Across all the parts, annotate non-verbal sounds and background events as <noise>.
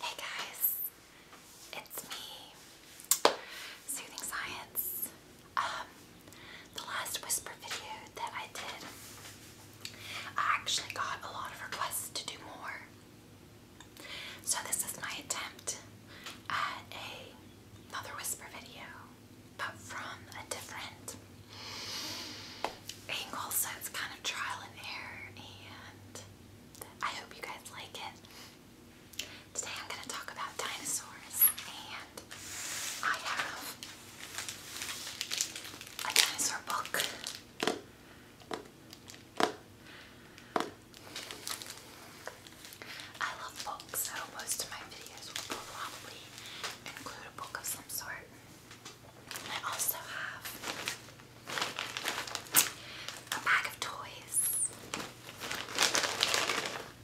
Hey guys, it's me, Soothing Science. Um, the last whisper video that I did, I actually got a lot of requests to do more. So this is my attempt at another whisper video, but from a different angle, it's kind of trial and error, and I hope you guys like it. Today I'm going to talk about dinosaurs, and I have a dinosaur book. I love books, so most of my videos will probably include a book of some sort. I also have a bag of toys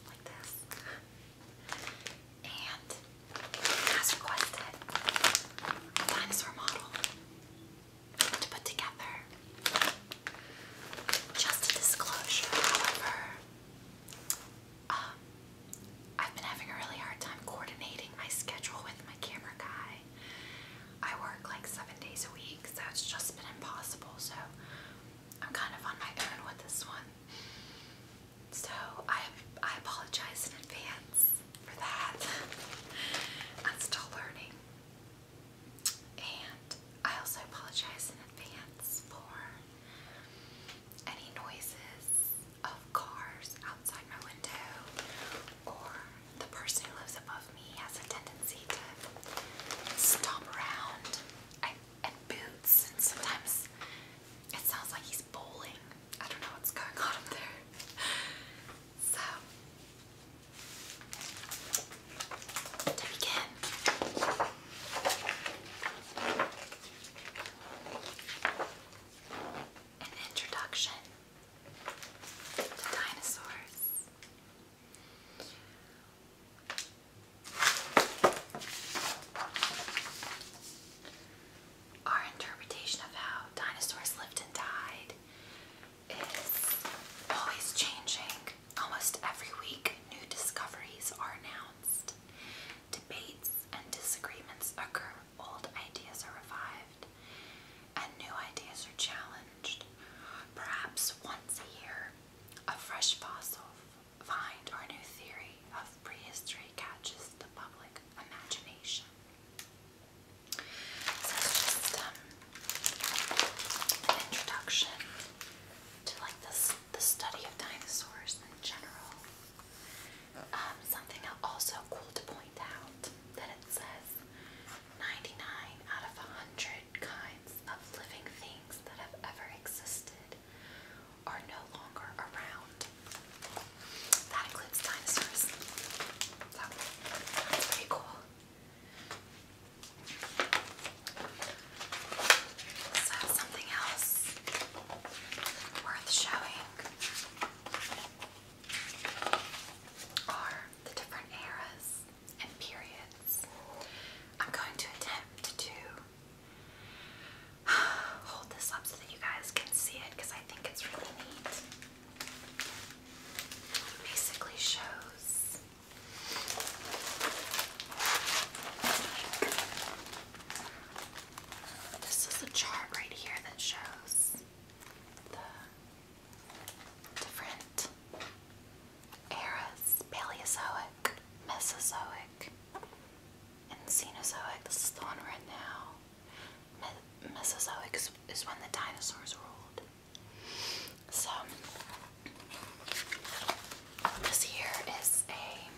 like this, and as requested, a dinosaur model to put together. Just a disclosure, however, um, I've been having a really hard time coordinating my schedule with my camera guy. I work like seven days a week, so it's just been impossible. So I'm kind of on my own with this one. So I I apologize in advance for that. <laughs> I'm still learning. And I also apologize in advance for any noises of cars outside my window, or the person who lives above me has a tendency to stomp around I, and boots, and sometimes it sounds like he's bowling. I don't know what's going on up there. So, to begin, an introduction our interpretation of how dinosaurs lived and died is always changing. Almost every week, new discoveries are announced. Debates and disagreements occur old ideas are revived and new ideas are challenged. Perhaps once a year, a fresh fossil find or new theory of prehistory catches the public imagination. Um, an introduction to like this the study of dinosaurs in general. Um, something also cool to point out that it says 99 out of 100 kinds of living things that have ever existed are no longer around. That includes dinosaurs. that's pretty cool. So, something else worth showing are the different eras and periods. I'm going to attempt to hold this up so that you guys can see it because I think it's really neat. basically shows this is a chart right here that shows the different eras Paleozoic, Mesozoic, and Cenozoic. This is the one we now. Mesozoic is when the dinosaurs ruled. So, this here is a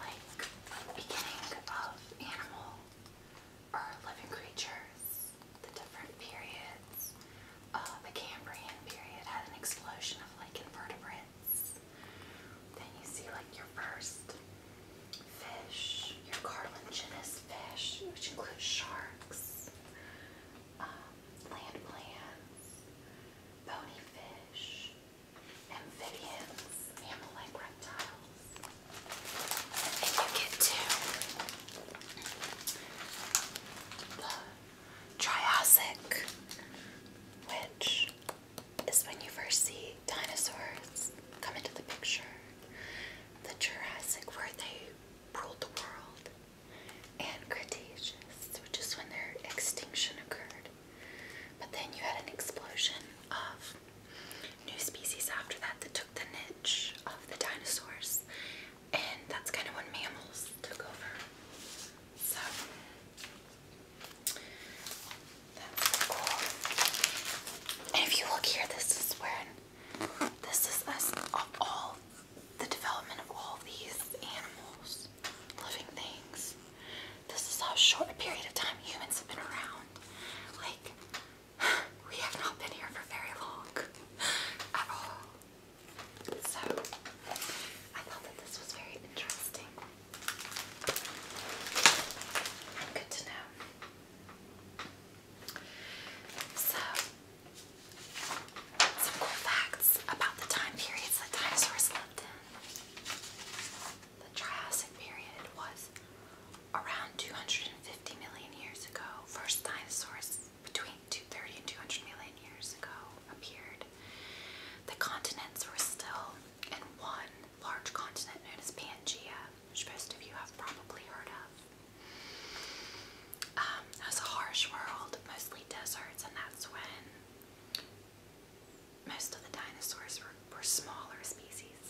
like beginning of animal or living creatures, the different periods. Uh, the Cambrian period had an explosion of like invertebrates. Then you see like your first fish, your cartilaginous fish, which includes sharks, um, land plants, bony fish, amphibians, mammal like reptiles. And you get to the Triassic, which is when you first see dinosaurs come into the picture. The Jurassic, where they ruled the world, and Cretaceous, which is when their extinction occurred. But then you had an explosion of new species after that that took the niche of the dinosaurs, and that's kind of when mammals took over. So that's cool. if you look here, this is when this is us of all the development of all these animals, living things. This is how short a period of time humans have been around. Like, <sighs> we have not been here for very long <sighs> at all. So, I thought that this was very interesting. good to know. So, some cool facts about the time periods that dinosaurs lived in. The Triassic period was around 250 million years ago. First dinosaurs between 230 and 200 million years ago appeared. The continents were still in one large continent known as Pangea, which most of you have probably heard of. Um, it was a harsh world, mostly deserts, and that's when most of the dinosaurs were, smaller species.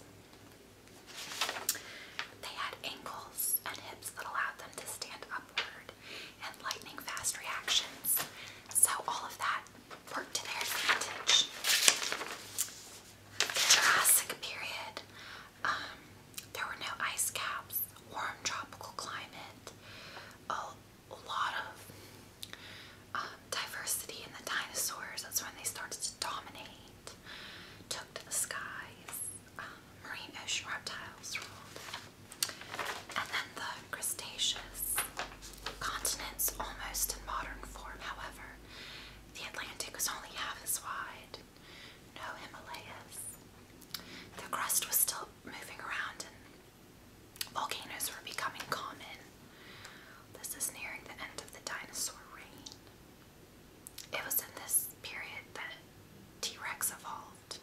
They had ankles and hips that allowed them to stand upward and lightning fast reactions. So all of that worked to their advantage. Jurassic period, um, there were no ice caps, warm tropical climate, a lot of uh, diversity in the dinosaurs. That's when they started to dominate, took to the skies. Um, marine ocean reptiles ruled. And then the Cretaceous continents almost in modern form. However, the Atlantic was only half as wide. No Himalayas. The crust was still moving around Volcanoes were becoming common. This is nearing the end of the dinosaur reign. It was in this period that T. Rex evolved.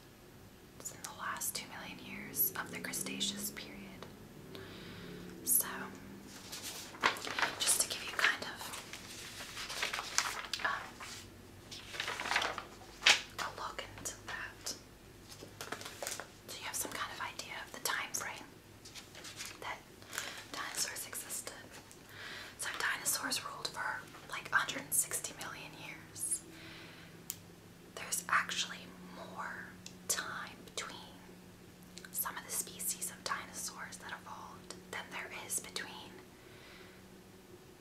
It's in the last two million years of the Cretaceous period. So, just to give you kind of um, a look into that. So you have some kind of idea of the time frame that dinosaurs existed? So dinosaurs ruled for like 160 million years. There's actually more time between some of the species of dinosaurs that evolved than there is between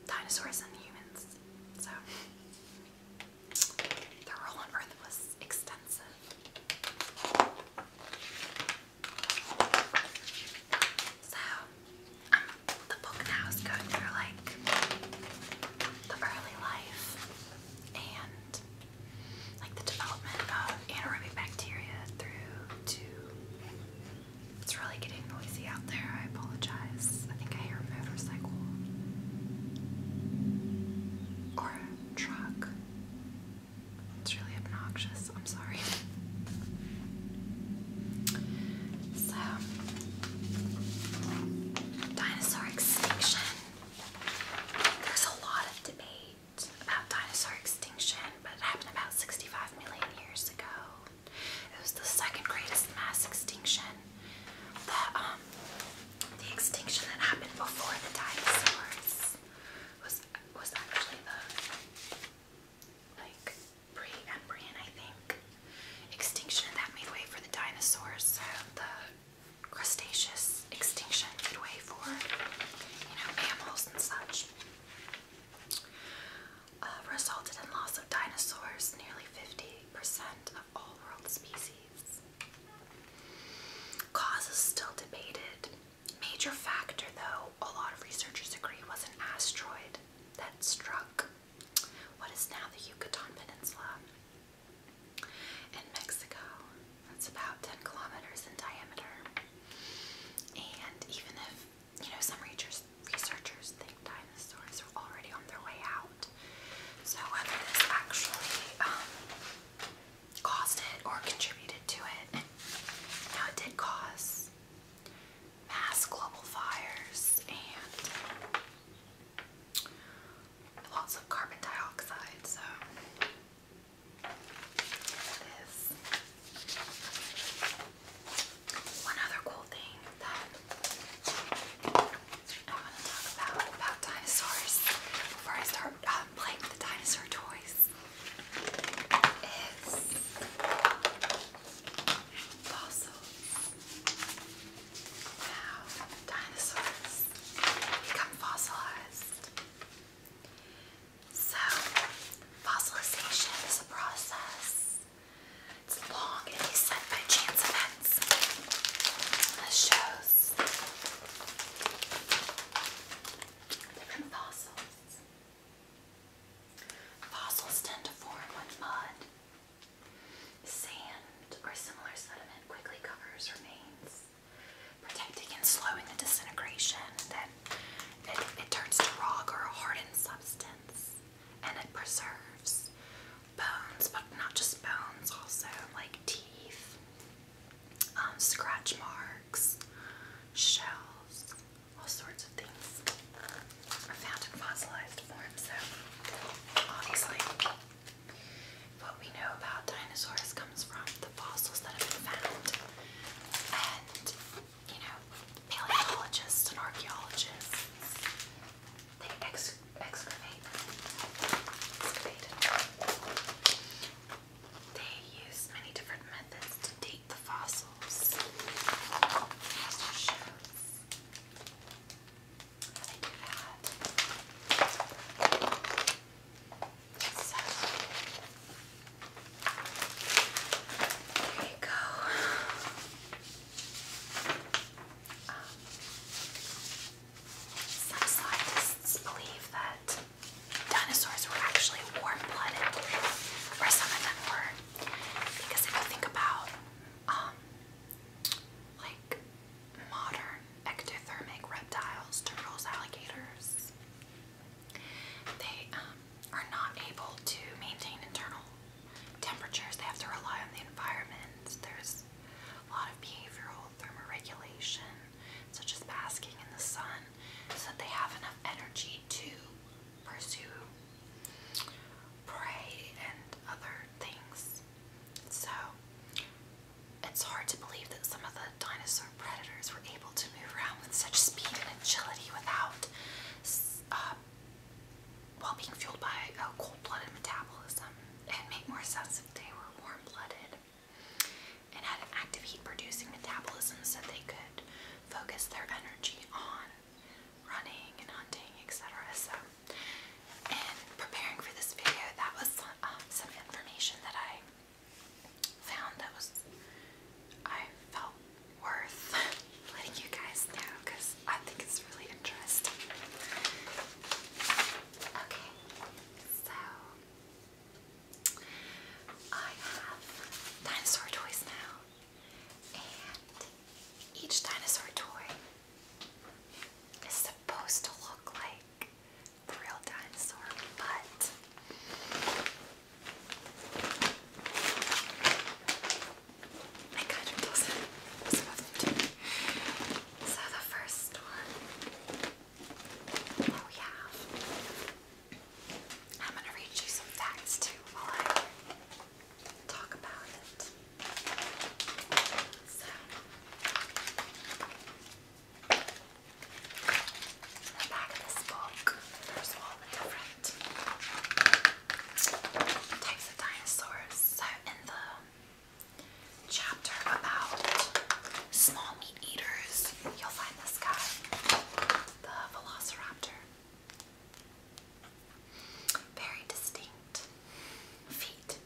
dinosaurs and humans. So the roll on earth was extensive. So, um, the book now is going through like the early life and like the development of anaerobic bacteria through to. It's really getting noisy out there, I apologize. I think I hear a motorcycle or a truck. It's really obnoxious. I'm sorry. So, dinosaur extinction. There's a lot of debate about dinosaur extinction, but it happened about 65 million years ago. It was the second greatest mass extinction the um the extinction that happened before the dinosaurs was was actually the like pre-Embrian I think extinction that made way for the dinosaurs. So the Cretaceous extinction made way for you know mammals and such. Uh, resulted in loss of dinosaurs, nearly 50% of all world species. Cause is still debated. Major factor, though, a lot of researchers agree was an asteroid that struck what is now the Yucatan Peninsula in Mexico. That's about 10 kilometers in diameter. And even if, you know, some researchers think the dinosaurs are already on their way out. So whether this actually um, caused it or contributed to it, now it did cause mass global fires and lots of carbon dioxide. So this. One other cool thing that I want to talk about, dinosaurs before I start um, playing with the dinosaur toys. Is fossils. Now, dinosaurs become fossilized. So, fossilization is a process it's long and he's sent by chance events. This shows different fossils. Fossils tend to form when mud, sand, or similar sediment quickly covers remains, protecting and slowing the disintegration. Then it turns to rock or a hardened substance, and it preserves bones, but not just bones, also like teeth, um, scratch marks, shells, all sorts of things are found in fossilized form. So obviously, what we know about dinosaurs comes from the fossils that have been found, and you know, paleontologists and archaeologists they excavate. They use many different methods to date the fossils. there you go. Um, some scientists believe that dinosaurs were actually warm-blooded, or some of them were, because if you think about um, like modern ectothermic reptiles, turtles, alligators, they um, are not able to maintain internal temperatures, they have to rely on the environment. There's a lot of behavioral thermoregulation, such as basking in the sun, so that they have enough energy to pursue prey and other things. So it's hard to believe that some of the dinosaur predators were able to move around with such speed and agility without uh, while being fueled by a uh, cold-blooded metabolism, it made more sense if they were warm-blooded and had an active heat-producing metabolism so they could focus their energy on running and hunting, etc. So, in preparing for this video, that was um, some information that I found that was I felt worth <laughs> letting you guys know because I think it's really interesting. Okay, so I have dinosaur toys now, and each dinosaur toy is supposed to look like the real dinosaur, but I So the first one we have, I'm gonna read you some facts too while I talk about it. So. the back of this book, there's all the different types of dinosaurs. in the chapter about small meat eaters, you'll find this guy, the velociraptor. Very distinct feet.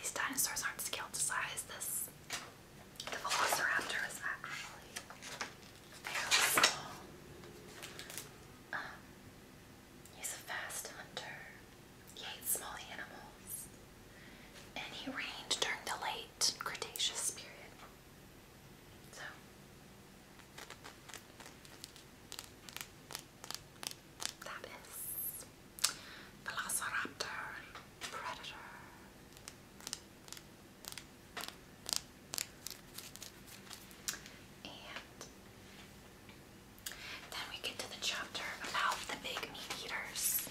These dinosaurs aren't scaled to size. This the velociraptor is actually very small he's a fast hunter. He ate small animals. And he reigned during the late Cretaceous period. So. That is Velociraptor Predator. And then we get to the chapter about the big meat eaters.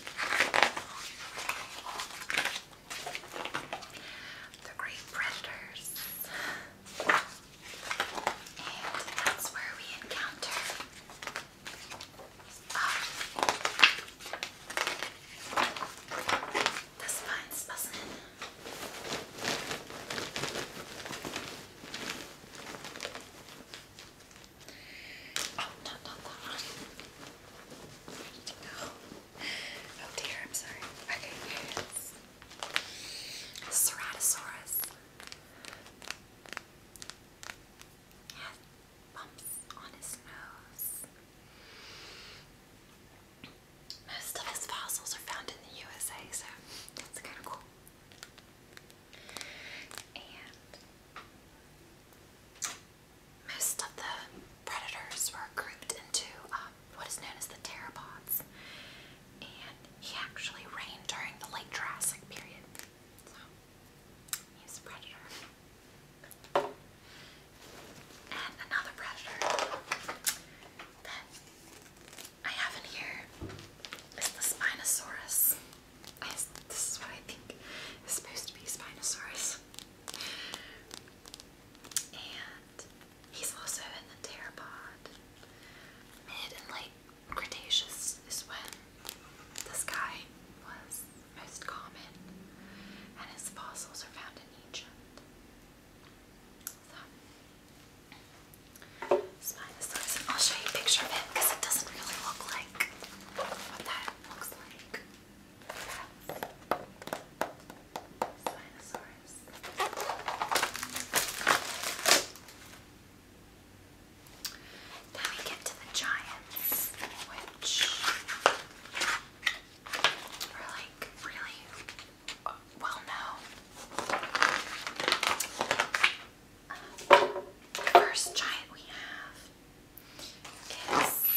The great predators. And that's where we encounter um, that's fine. ins Passen. Oh, no, no, no. Oh. oh dear, I'm sorry. Okay, here Ceratosaurus. He bumps on his nose. Most of his fossils are found in the USA, so that's kind of cool. And most of the predators were grouped into um, what is known as the pteropods, and he actually reigned during the late Jurassic period. So he's a predator. And another predator that I have in here is the Spinosaurus. this is what I think is supposed to be Spinosaurus. And he's also in the pteropod. Mid and late Cretaceous is when this guy was most common, and his fossils are found in Egypt. I'll show you a picture of it because it doesn't really look like what that looks like. Spinosaurus. Then we get to the giants, which were like really well, no. Uh, first giant we have is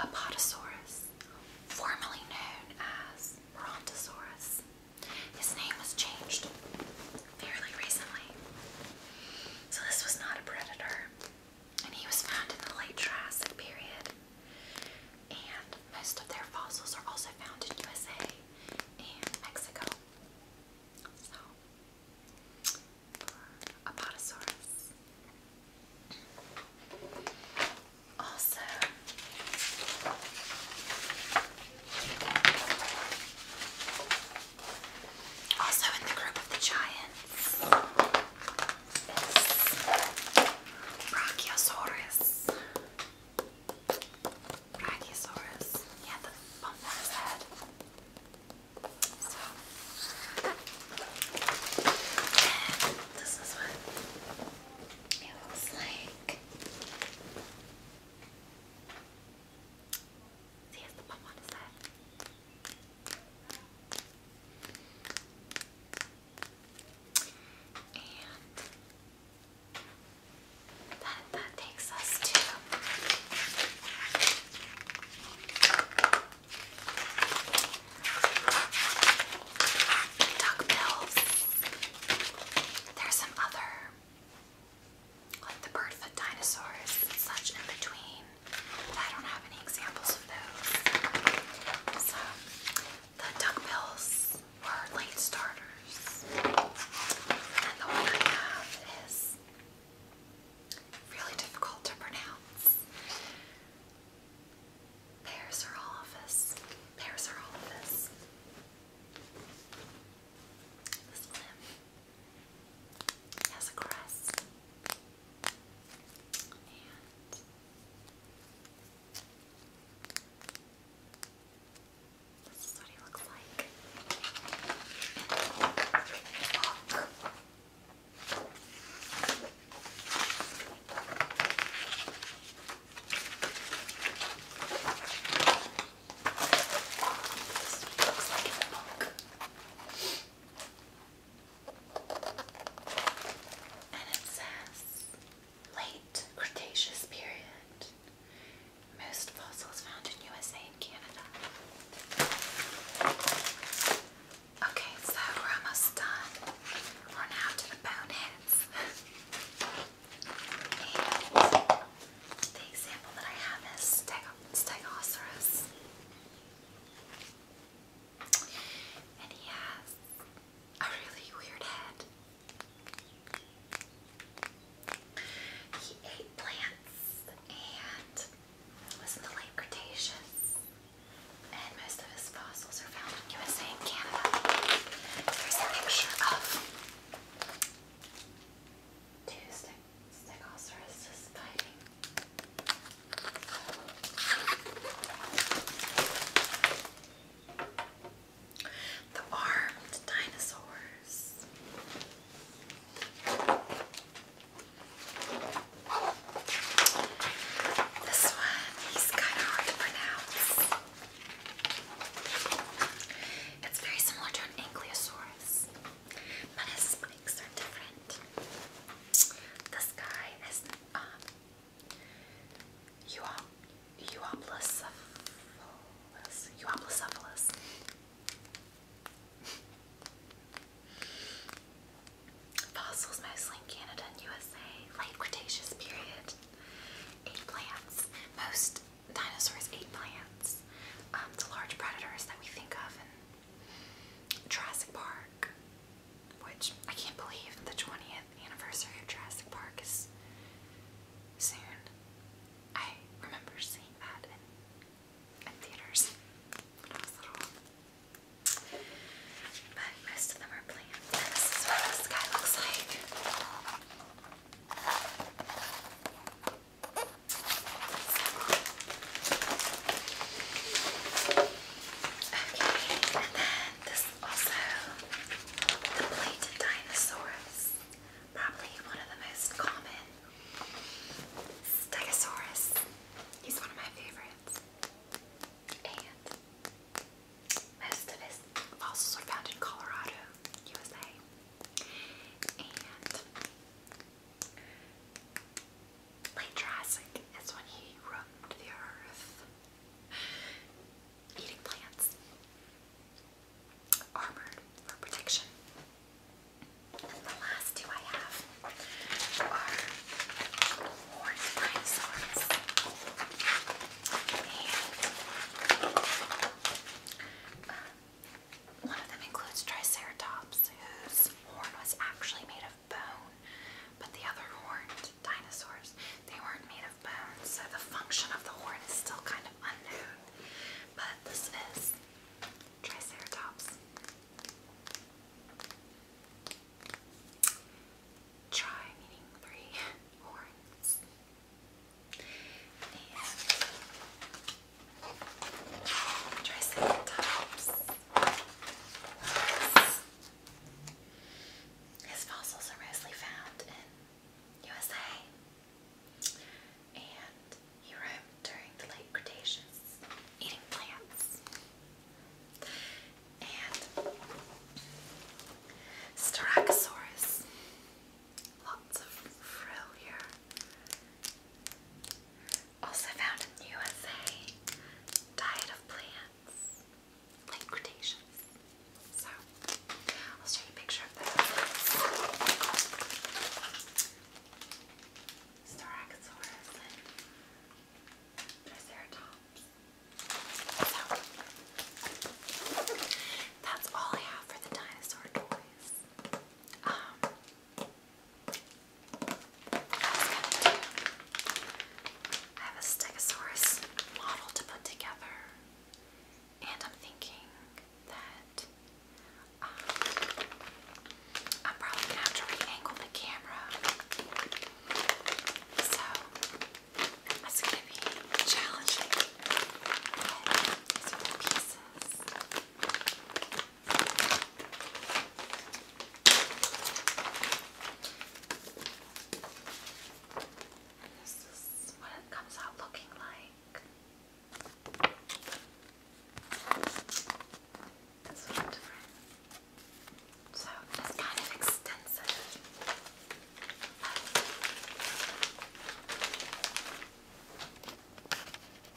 Apatosaurus, formerly known as Brontosaurus. His name was changed fairly recently. So, this was not a predator and he was found in the late Triassic period. And most of their fossils are also found in USA and Mexico. So, for Apatosaurus. Also, also in the group of the giants Brachiosaurus. Brachiosaurus. He the bump on his head. this is what it looks like. See, he the bump on his head. And that, that takes us to duck bills. There's some other, like the bird foot dinosaurs such in between but I don't have any examples of those. So the duckbills were late starters, and the one I have is really difficult to pronounce. Pears are all of us. Pears are all of us. This limb has a crest. And this is what he looks like. This is what it looks like in the book. And it says late Cretaceous period. Most fossils found in USA and Canada. Okay, so we're almost done. We're to the boneheads. the example that I have is Stegosaurus. And he has a really weird head. He ate plants and was in the late Cretaceous. And most of his fossils are found in USA and Canada. Here's a picture of two stegosaurus fighting. The armed dinosaurs. This one, he's kind of hard to pronounce. It's very similar to an ankylosaurus, but his likes are different. This guy is um Euoplocephalus. Euoplocephalus. Fossils mostly in Canada and USA. Late Cretaceous period. Ate plants. Most dinosaurs ate plants. Um, the large predators that we think of and Jurassic Park, which I can't believe the 20th anniversary of Jurassic Park is soon. I remember seeing that in, theaters But most of them are planned. This is what this guy looks like. Okay, and then this also, the plated dinosaurs, probably one of the most common. Stegosaurus, he's one of my favorites. And most of his fossils were found in Colorado, USA. And Late Jurassic is when he roamed the earth eating plants, armored for protection. And the last two I have are horned dinosaurs. And um, one of them includes Triceratops, whose horn was actually made of bone, but the other horned dinosaurs, they weren't made of bone, so the function of the horn is still kind of unknown. But this is Triceratops. Tri meaning three <laughs> horns. His fossils are mostly found in USA. And he roamed during the late Cretaceous, eating plants. And Styracosaurus. Lots of frill here. Also found in the USA. Diet of plants. Like So, I'll show you a picture of those. Starachosaurus Triceratops. that's all I have for the dinosaur toys. Um, I have a Stegosaurus model to put together, and I'm thinking that um, I'm probably gonna have to reangle the camera, so that's gonna be challenging. these are the pieces. This is what it comes out looking like. It's a little different. So it's kind of extensive. But